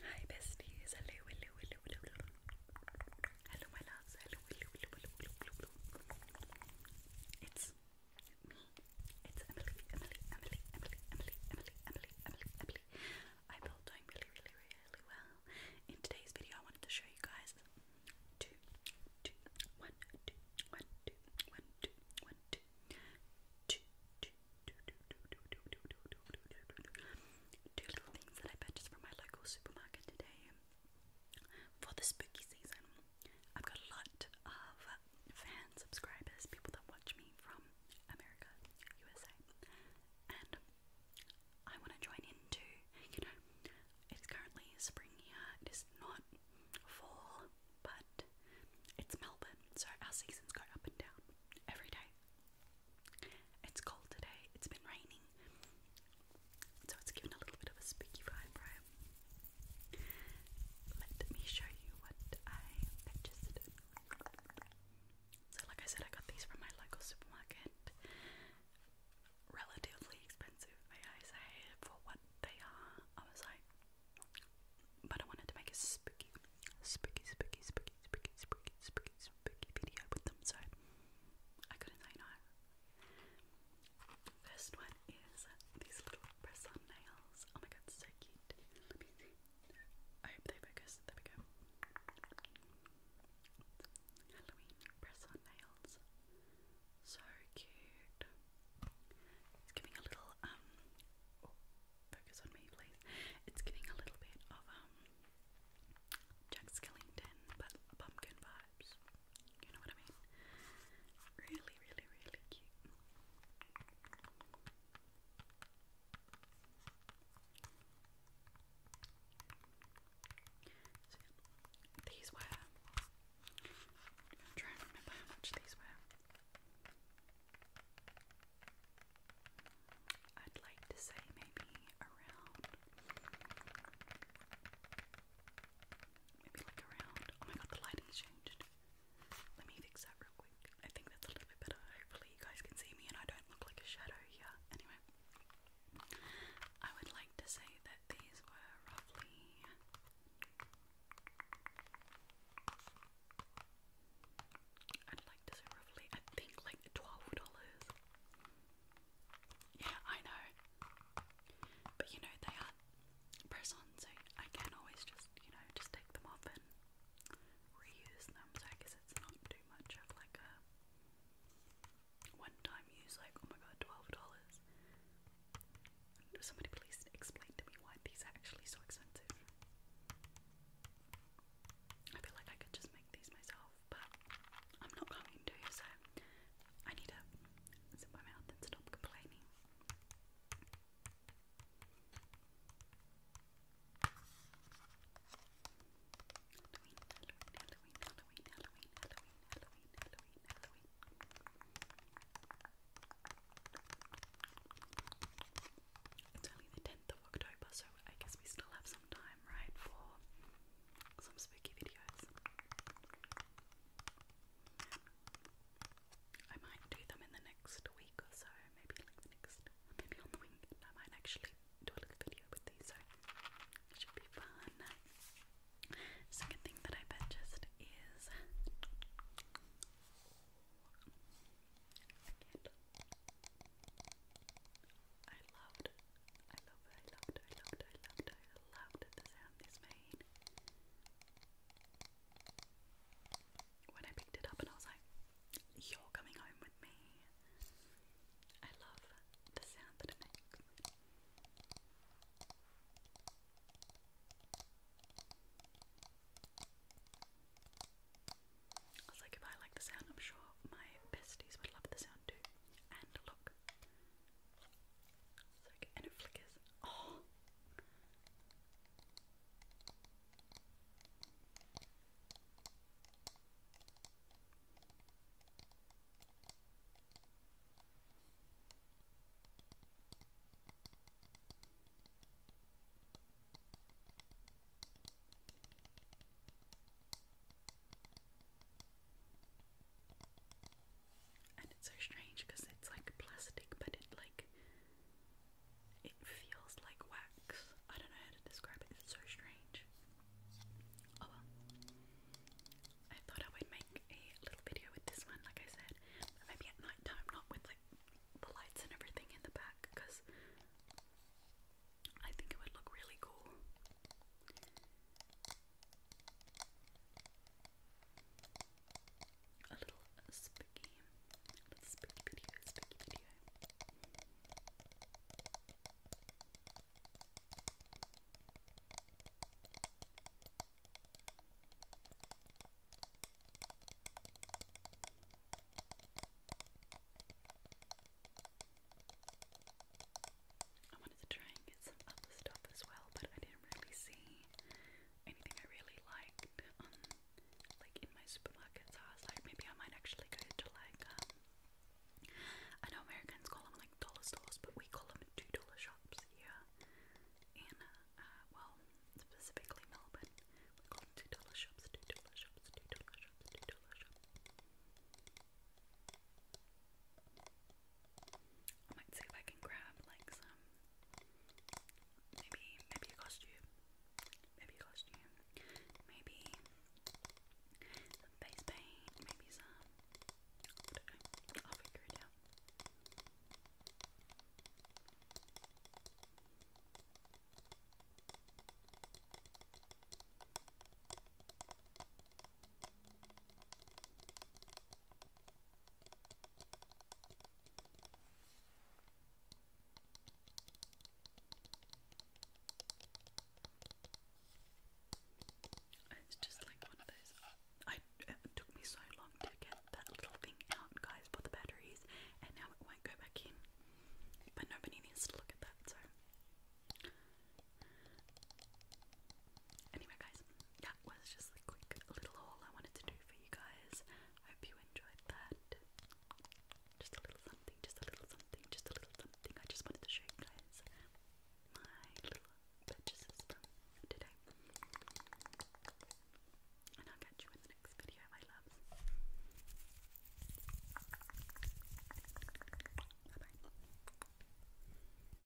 Hi besties, hello, hello, hello, hello, hello, my loves, hello, hello, hello, hello, hello, hello, It's me, it's Emily, Emily, Emily, Emily, Emily, Emily, Emily, Emily, Emily. I hope all doing really, really, really well. In today's video, I wanted to show you guys two, two, one, two, one, two, one, two, one, two. Two little things that I purchased from my local supermarket today for the spooky season. I've got a lot of fan subscribers, people that watch me from America, USA, and I want to join in too. You know, it's currently spring here, it is not fall, but it's Melbourne, so our seasons go up and down every day. It's cold today, it's been raining, so it's given a little bit of a spooky vibe, Let me show you what I purchased. So, like I said, I got these from my local supermarket. Relatively expensive, I say, for what they are. I was like, but I wanted to make a spooky, spooky, spooky, spooky, spooky, spooky, spooky, spooky video with them, so I couldn't say no. First one is these little press-on nails. Oh my god, so cute. I hope they focus. There we go. Halloween press-on nails. So cute. It's giving a little um oh, focus on me please. It's giving a little bit of um Jack Skellington but pumpkin vibes. You know what I mean? Really, really, really cute. these were i trying to remember how much these were. I'd like to say maybe around, maybe like around, oh my god the lighting's changed. Let me fix that real quick. I think that's a little bit better. Hopefully you guys can see me and I don't look like a shadow here. Anyway, I would like to say that these were roughly I'd like to say roughly, I think like twelve dollars. Yeah, I know. But you know they are press on so I can always just, you know, just take them off and reuse them. So I guess it's not too much of like a one time use, like, oh my god, $12. Somebody please explain to me why these are actually so expensive. I feel like I could just make these myself, but I'm not going to, so I need to zip my mouth and stop complaining. Halloween, Halloween, It's only the 10th of October, so I guess we still have some time, right, for some spooky videos. I might do them in the next week or so, maybe next, maybe on the weekend. I might actually do a little video with these, so it should be fun. Second thing that I purchased is I loved, I loved, I loved, I loved, I loved, I loved the sound this made. When I picked it up and I was like, you're coming home with me. I love the sound that it I was like, if I like the sound, I'm sure my besties would love the sound too. And look. It's like, and it flickers. Oh! And it's so strange because it's like plastic, but it like it feels like wax. I don't know how to describe it. It's so strange. Oh, I thought I would make a little video with this one, like I said. maybe at night not with like the lights and everything in the back, because I think it would look really cool. A little spooky little spooky video, spooky video. I wanted to try and get some other stuff as well, but I didn't really see anything I really liked on like in my supermarket. So I was like, maybe I might actually go to like um, I know Americans call them like dollar stores, but we call them two dollar shops here in uh, uh, well specifically Melbourne. We call them two dollar shops, two dollar shops, two dollar shops, two dollar shops. I might see if I can grab like some Maybe, maybe a costume. Maybe a costume. Maybe some face paint. Maybe some. I will figure it out. It's just like one of those. I took me so long to get that little thing out, guys, for the batteries, and now it won't go back in. But nobody needs to look at that, so. Anyway, guys, that was just a quick little haul I wanted to do for you guys. I hope you enjoyed that. Just a little something, just a little something, just a little something. I just wanted to show you guys my little purchases from today. And I'll catch you in the next video, my loves. bye.